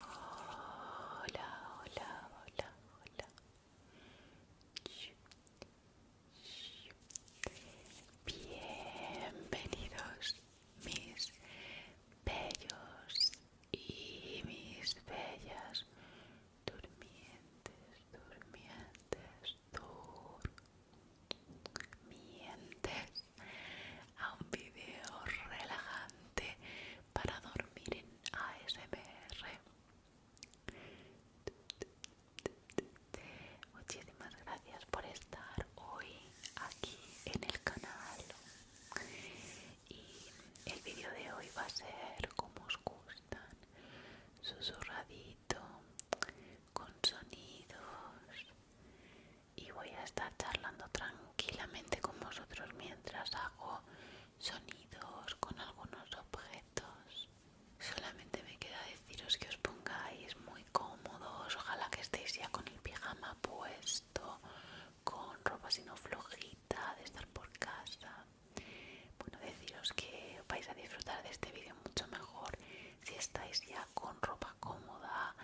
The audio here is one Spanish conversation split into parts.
Hola, hola, hola, hola. Bienvenidos mis bellos y mis bellas durmientes, durmientes, durmientes a un video relajante para dormir en ASMR. Muchísimas gracias por estar hoy aquí en el canal. Y el vídeo de hoy va a ser como os gustan, susurradito, con sonidos. Y voy a estar charlando tranquilamente con vosotros mientras hago sonidos con algunos objetos. Solamente me queda deciros que os pongáis muy cómodos, ojalá que estéis ya con el pijama puesto, con ropa sino flojita de estar por casa. Bueno, deciros que vais a disfrutar de este vídeo mucho mejor si estáis ya con ropa cómoda,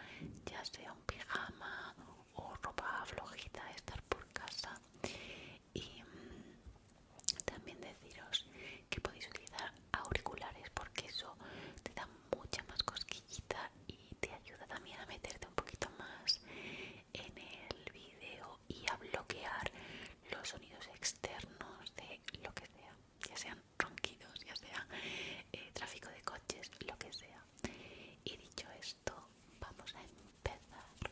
ya sea un pijama o ropa flojita estar por casa y mm, también deciros que podéis utilizar auriculares porque eso te da mucha más cosquillita y te ayuda también a meterte un poquito más en el vídeo y a bloquear los sonidos externos de lo que sea, ya sean ronquidos, ya sea eh, tráfico de coches, lo que sea. Y dicho esto, vamos a empezar.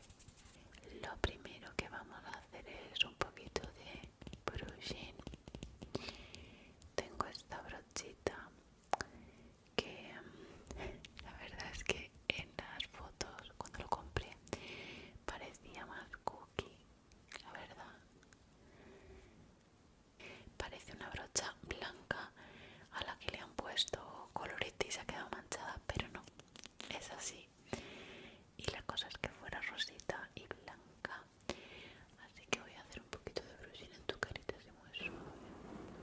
Lo primero que vamos a hacer es un poquito de brushing. Tengo esta brochita que mm, la verdad es que en las fotos cuando lo compré parecía más cookie, la verdad. Parece una brocha blanca a la que le han puesto colorita y se ha quedado manchada, pero no, es así. Y la cosa es que fuera rosita y blanca. Así que voy a hacer un poquito de brushing en tu carita, así muy suave,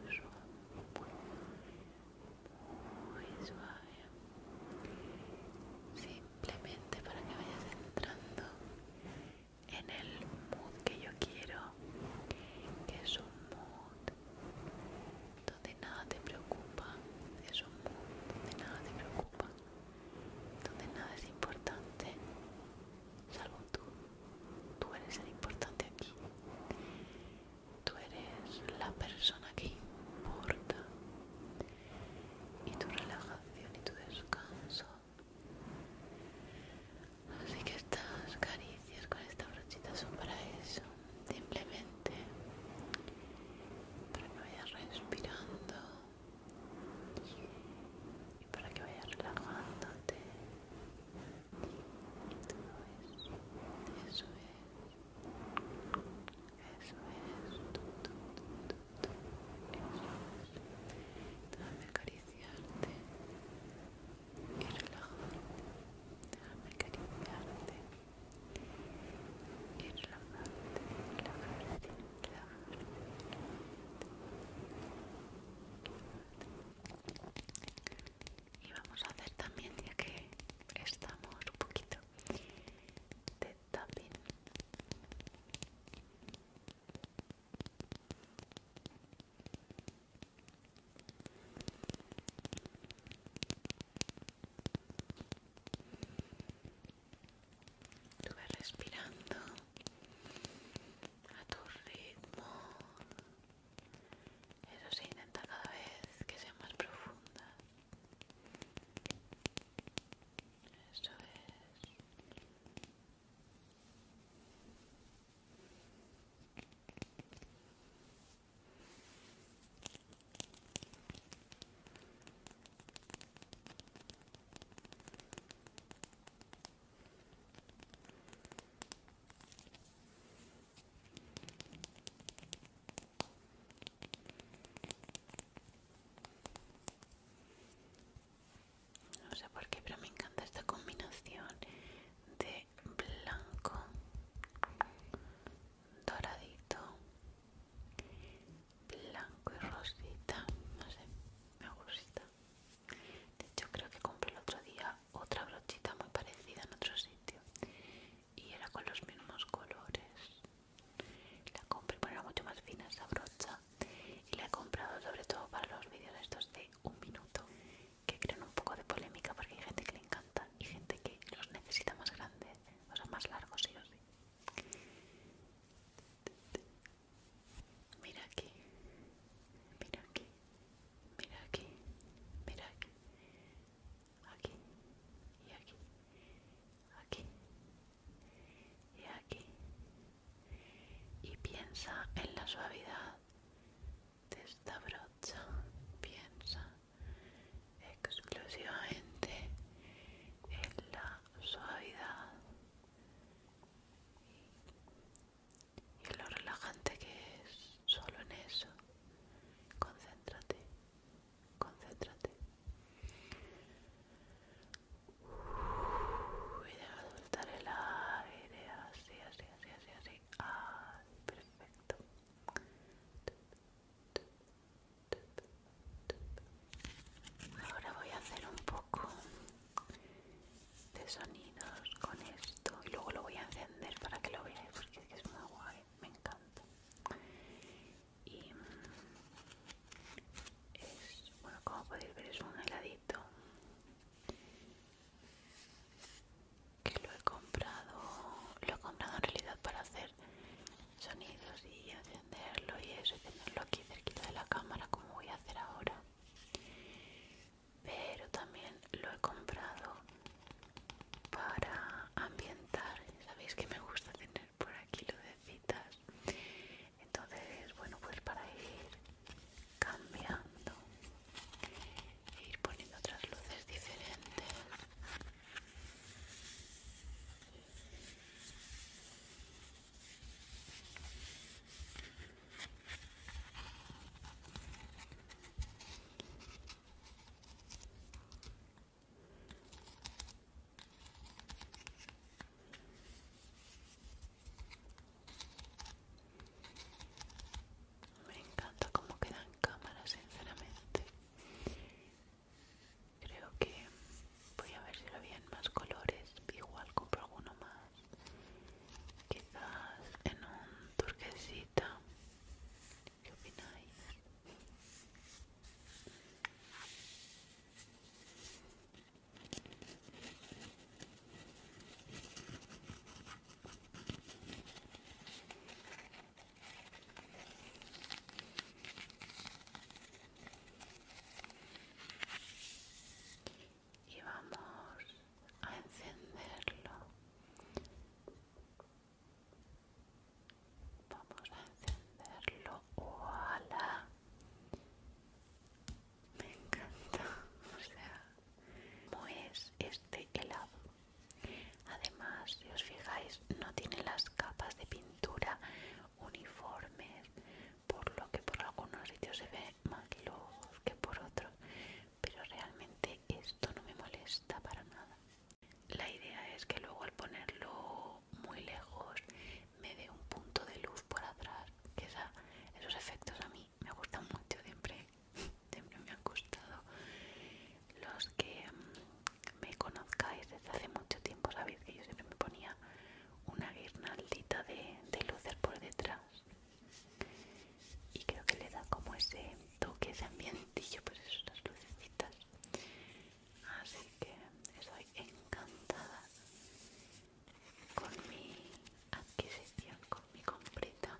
muy suave, muy suave. Simplemente para que vayas entrando en el mood que yo quiero que es un mood donde nada te preocupa, es un mood donde nada te preocupa, donde nada es importante, salvo tú, tú eres el importante aquí, tú eres la persona que importa y tu relajación y tu descanso Así que estas caricias con esta brochita son para eso. Simplemente para que vayas respirando y para que vayas relajándote. Eso es. Eso es. Eso es. acariciarte y relajarte. Déjame acariciarte y relajarte, relajarte, relajarte, relajarte. Y vamos a hacer también, ya que estamos un poquito de tapping. Tú respirando a tu ritmo. Eso se intenta cada vez que sea más profunda. Eso es. No sé por qué, pero me encanta esta combinación de blanco doradito blanco y rosita no sé me gusta de hecho creo que compré el otro día otra brochita muy parecida en otro sitio y era con los mismos colores la compré pero era mucho más fina esa brocha y la he comprado sobre todo para los vídeos estos de un minuto que crean un poco de polémica porque hay gente que le encanta y gente que los necesita más grandes, o sea, más largos sí o sí. Mira aquí, mira aquí, mira aquí, mira aquí, aquí y aquí, aquí y aquí. Y piensa en la suavidad de esta brocha piensa exclusivamente en la suavidad y, en lo relajante que es solo en eso concéntrate concéntrate y soltar el aire así así así así Ah, perfecto. Ahora voy a hacer un poco de sonidos con esto y luego lo voy a encender para que lo veáis porque es que es muy guay, me encanta. Y mm, es, bueno, como podéis ver es un heladito que lo he comprado lo he comprado en realidad para hacer sonidos y encenderlo y eso y tenerlo aquí cerquita de la cámara como voy a hacer ahora pero también lo he comprado para ambientar sabéis que me gusta tener por aquí lo de citas entonces bueno pues para ir cambiando e ir poniendo otras luces diferentes me encanta cómo en cámara, sinceramente. Creo que voy a ver si lo había en más colores. Igual compro alguno más. Quizás en un turquesita. ¿Qué opináis? y vamos a encenderlo vamos a encenderlo ojalá me encanta o sea como es este helado además si os fijáis no tiene las capas de pintura uniformes por lo que por algunos sitios se ve más luz que por otros pero realmente esto no me molesta para nada la idea es que luego al ponerlo muy lejos me dé un punto de luz por atrás que esa, esos efectos a mí me gustan mucho, siempre, siempre me han gustado. Los que mm, me conozcáis desde hace mucho tiempo sabéis que yo siempre me ponía una guirnaldita de, luces por detrás y creo que le da como ese toque, ese ambientillo, pues las lucecitas. Así que estoy encantada con mi adquisición, con mi completa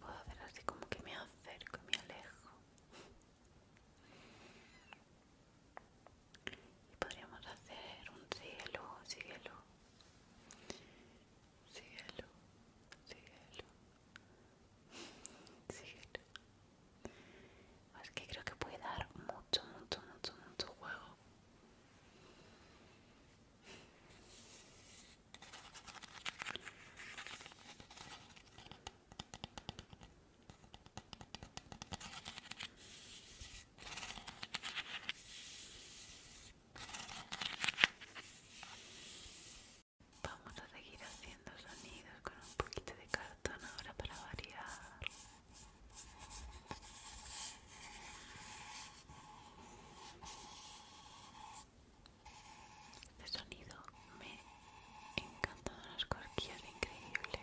Puedo hacer así como que me acerco y me alejo. Y podríamos hacer un cielo, cielo, cielo, cielo, cielo. Es que creo que puede dar mucho, mucho, mucho, mucho juego. Vamos a seguir haciendo sonidos con un poquito de cartón ahora para variar de sonido me encantan las corquillas increíbles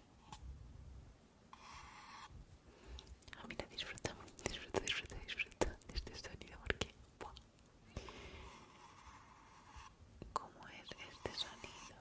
Ah, mí la disfruta, disfruta, disfruta, disfruta de este sonido porque... ¿Cómo es este sonido?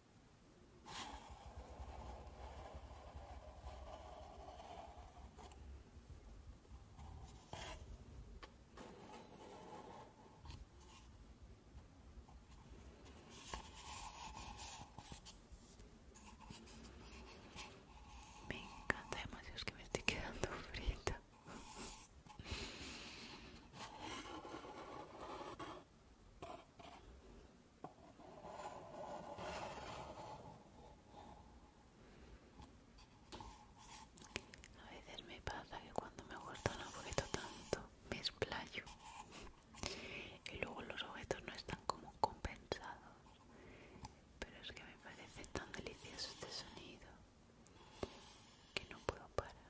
Me encanta, además es que me estoy quedando frita. A veces me pasa que cuando me gusta un objeto tanto me explayo y luego los objetos no están como compensados. Pero es que me parece tan delicioso este sonido que no puedo parar.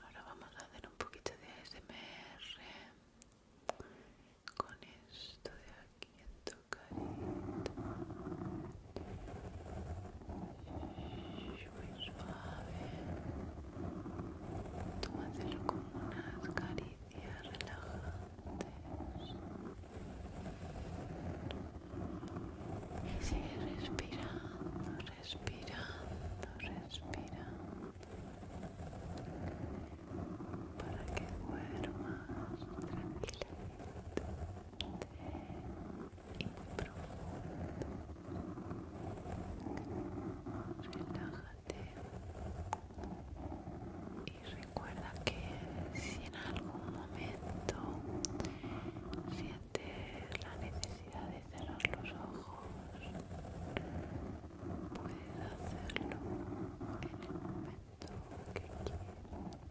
Ahora vamos a hacer un poquito de SMR con esto de aquí en tu carita. Muy suave. Tú hazlo como unas caritas y y sigue respirando, respirando, respirando para que duermas tranquilamente y muy profundo y recuerda que si en algún momento sientes la necesidad de cerrar los ojos puedes hacerlo en el momento que quieras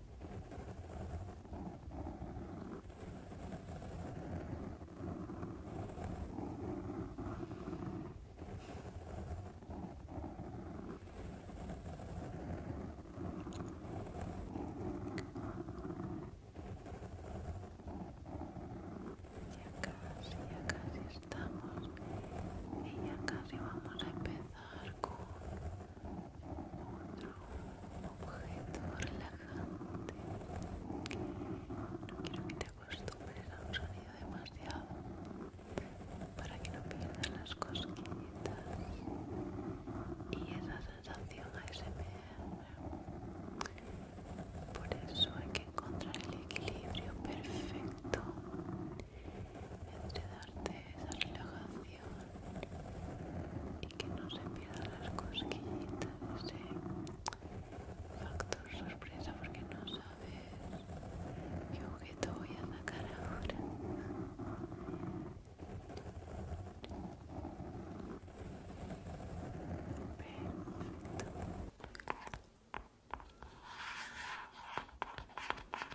casi, ya casi estamos y ya casi vamos a empezar con objeto relajante. No quiero que te acostumbres a un sonido demasiado para que no pierdas las cosquillitas y esa sensación ASMR. Por eso hay que encontrar el equilibrio perfecto entre darte esa relajación y que no se pierdan las cosquillitas, ese factor sorpresa porque no sabes qué objeto voy a sacar ahora.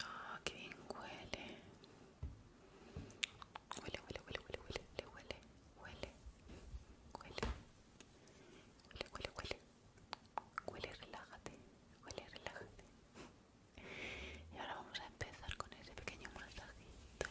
Ah, qué bien huele. Huele, huele, huele, huele, huele, huele, huele, huele, huele, huele, huele, huele, relájate, huele, relájate. Y ahora vamos a empezar con ese pequeño masajito.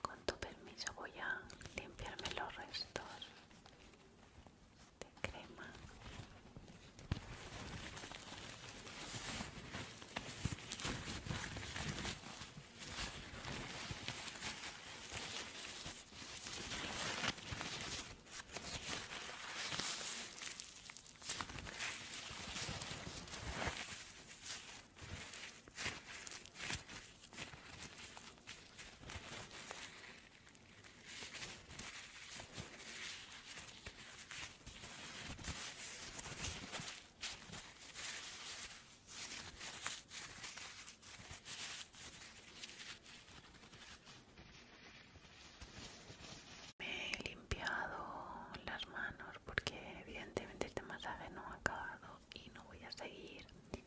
Con tu permiso voy a limpiarme los restos de este, crema me he limpiado las manos porque evidentemente este masaje no ha acabado y no voy a seguir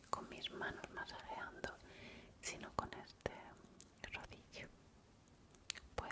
con mis manos masajeando, sino con este rodillo puedo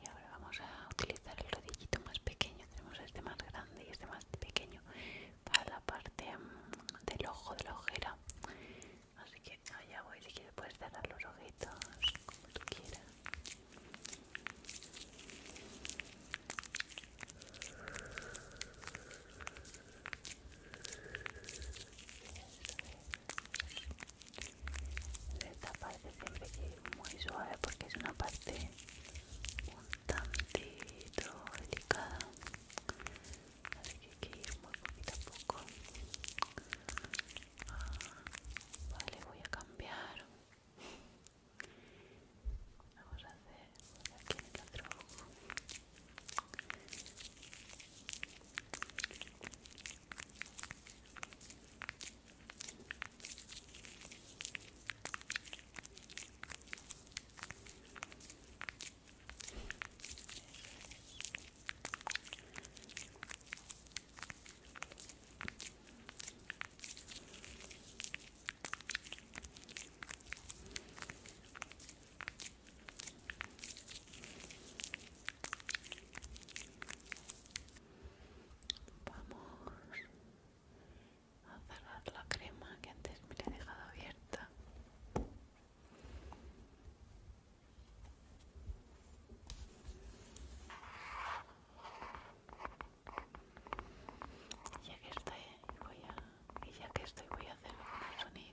Y ahora vamos a utilizar el rodillito más pequeño. Tenemos este más grande y este más pequeño para la parte mm, del ojo de la ojera así que allá voy si quieres puedes cerrar los ojitos como tú quieras esta parte siempre que muy suave porque es una parte un tantito delicada así que hay que ir muy poquito a poco ah, vale voy a cambiar vamos a hacer aquí en el otro ojo Vamos a cerrar la crema que antes me la he dejado abierta. Ya que estoy, voy a, y ya que estoy voy a hacer algunos sonidos.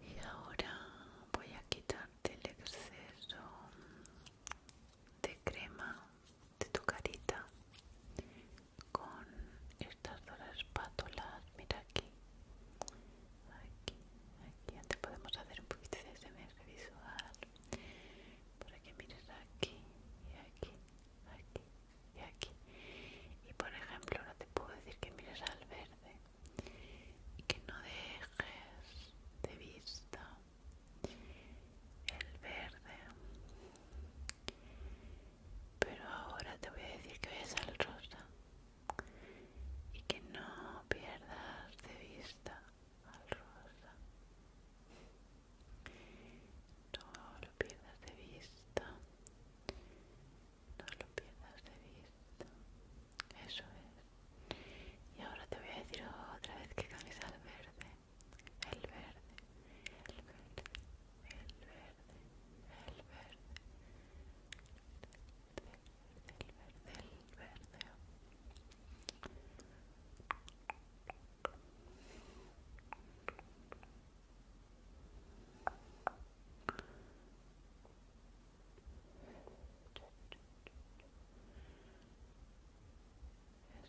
Y ahora voy a quitarte el exceso de crema de tu carita con estas dos espátulas, mira aquí, aquí, aquí, antes podemos hacer un poquito de semestre visual, para que mires aquí, y aquí, aquí, y aquí, y por ejemplo ahora te puedo decir que mires al verde, y que no dejes de vista el verde, pero ahora te voy a decir que ves al rosa y que no pierdas de vista al rosa. No lo pierdas de vista. No lo pierdas de vista. Eso es. Y ahora te voy a decir otra vez que camisa al verde. El verde. El verde. El verde verde, el verde, el verde, el verde.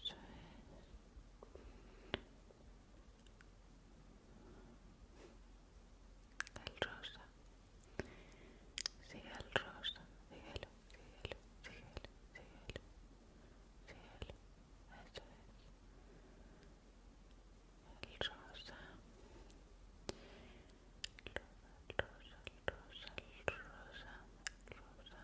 Eso es el rosa sigue el rosa síguelo, síguelo, síguelo, síguelo síguelo, el rosa el rosa, el rosa, el rosa, el rosa, el rosa.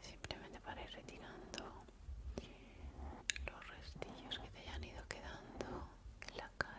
Simplemente para ir retirando los restillos que te hayan ido quedando en la cara.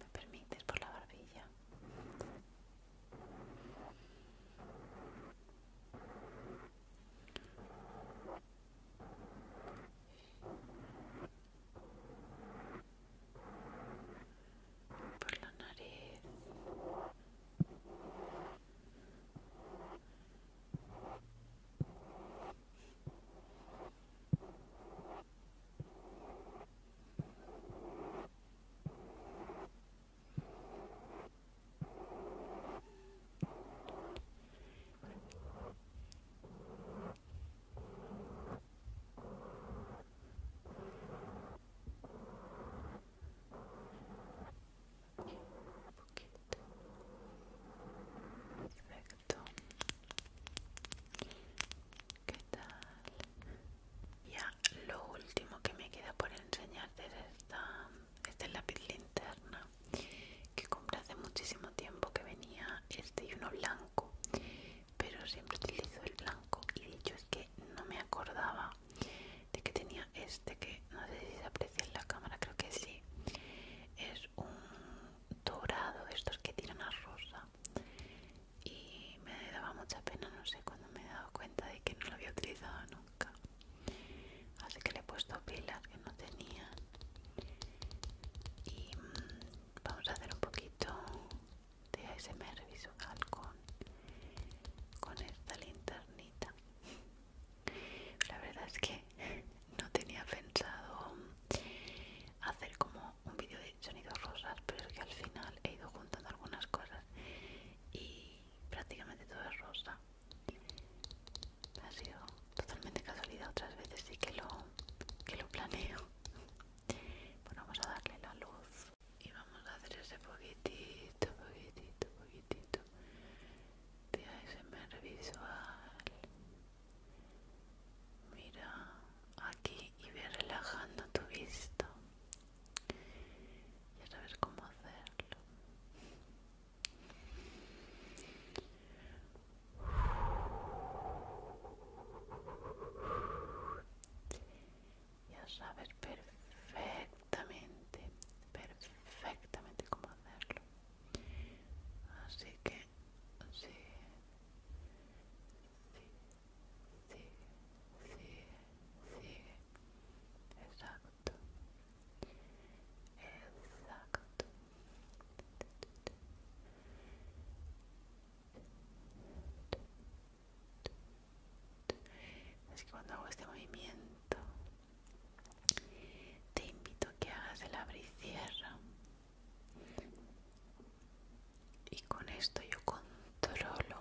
¿Me permites por la barbilla? por la nariz ¿Qué tal? Ya lo último que me queda por enseñarte es esta, es la lápiz interna que compré hace muchísimo tiempo que venía este y uno blanco pero siempre utilizo el blanco y dicho es que no me acordaba de que tenía este que no sé si se aprecia en la cámara creo que sí es un dorado estos que tiran a rosa y me daba mucha pena no sé cuando me he dado cuenta de que no lo había utilizado nunca así que le he puesto pilas que no tenía y mm, vamos a hacer un poquito de ASMR visual con, con esta linternita la verdad es que no tenía pensado hacer como un vídeo de sonidos rosas pero es que al final he ido juntando algunas cosas y prácticamente todo es rosa ha sido totalmente casualidad, otras veces sí que lo, que lo planeo. Bueno, vamos a darle la luz y vamos a hacer ese poquitito, poquitito, poquitito de ASMR visual. Mira aquí y ve relajando tu vista. Ya sabes cómo hacerlo. Ya sabes perfectamente, perfectamente cómo hacerlo. Así que sigue, sigue, sigue, sigue, Exacto. Exacto. Es que cuando hago este movimiento te invito a que hagas el abrir y cierra. Y con esto yo controlo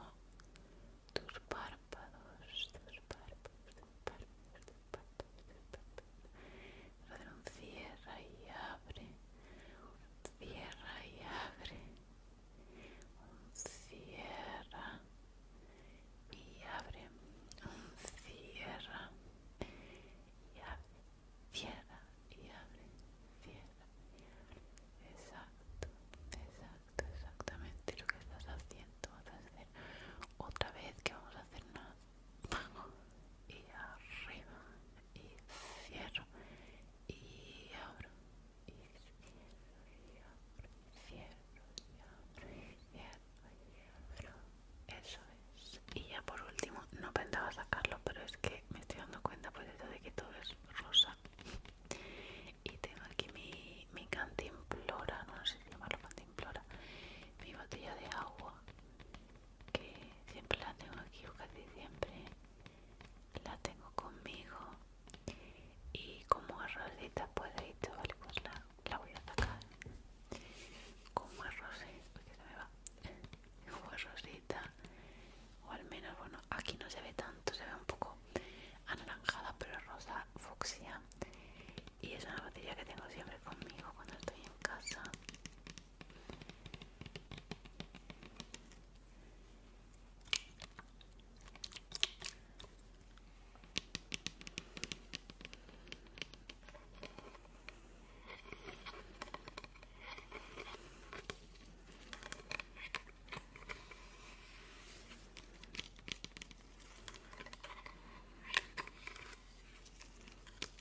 tus párpados, tus párpados, tus párpados, un cierra y abre. Cierra y abre. Un cierra y abre. Un cierra y abre. Cierra y abre. Cierra Exacto, exacto, exactamente lo que estás haciendo. Vas a hacer otra vez que vamos a hacer nada y arriba y cierro y abro y cierro y abro y cierro y abro eso es y ya por último no pensaba sacarlo pero es que me estoy dando cuenta pues eso de que todo es rosa y tengo aquí mi, mi cantimplora no sé si llamarlo cantimplora mi botella de agua que siempre la tengo aquí o casi siempre la tengo conmigo y como es rosita pues todo dicho vale pues la, voy a sacar como es rosita como rosita o al menos bueno aquí no se ve tanto se ve un poco anaranjada pero rosa fucsia y es una batería que tengo siempre conmigo cuando estoy en casa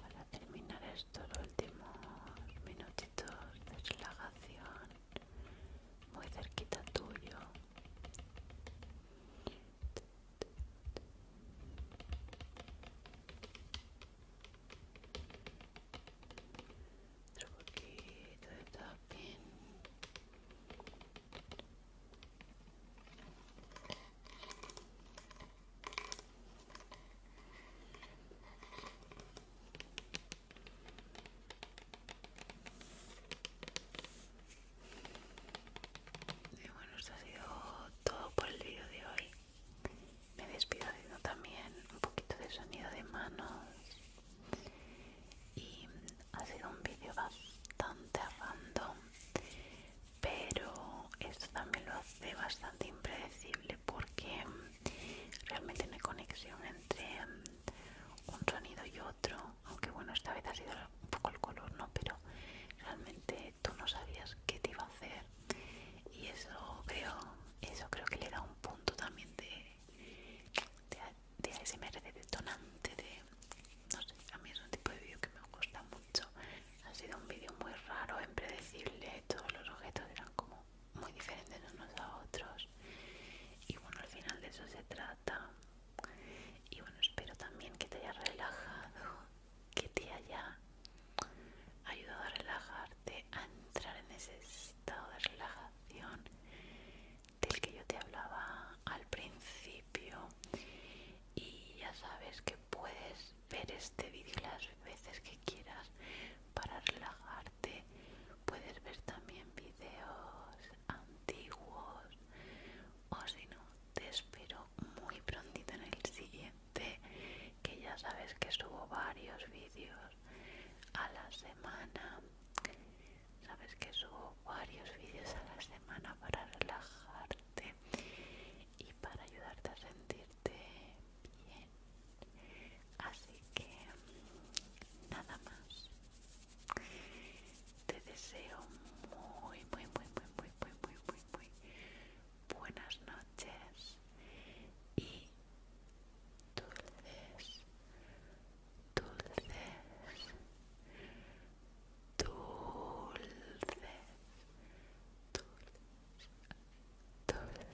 Para terminar esto el últimos minutitos de relajación, muy cerquita tuyo otro poquito de tapín. y bueno, esto ha sido todo por el vídeo de hoy me despido haciendo también un poquito de sonido de manos y ha sido un vídeo bastante rando, pero esto también lo hace bastante impredecible porque realmente no hay conexión entre un sonido y otro aunque bueno esta vez ha sido un poco el color no pero realmente tú no sabías qué te iba a hacer y eso creo eso creo que le da un punto también de de, ASMR de detonante de no sé a mí es un tipo de vídeo que me gusta mucho ha sido un vídeo muy raro impredecible todos los objetos eran como muy diferentes unos a otros y bueno al final de eso se trata y bueno espero también que te hayas relajado que te haya ayudado a relajarte, a entrar en ese estado de relajación del que yo te hablaba al principio. Y ya sabes que puedes ver este vídeo las veces que quieras para relajarte. Puedes ver también videos antiguos o si no, te espero muy prontito en el siguiente que ya sabes que subo varios vídeos a la semana. Sabes que subo varios vídeos a la semana para relajarte y para ayudarte a sentirte bien. Así que nada más. Te deseo muy, muy, muy, muy, muy, muy, muy, muy, muy, buenas noches y dulces, dulces, dulces, dulces, dulces, dulces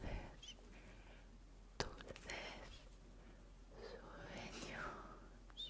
sueños.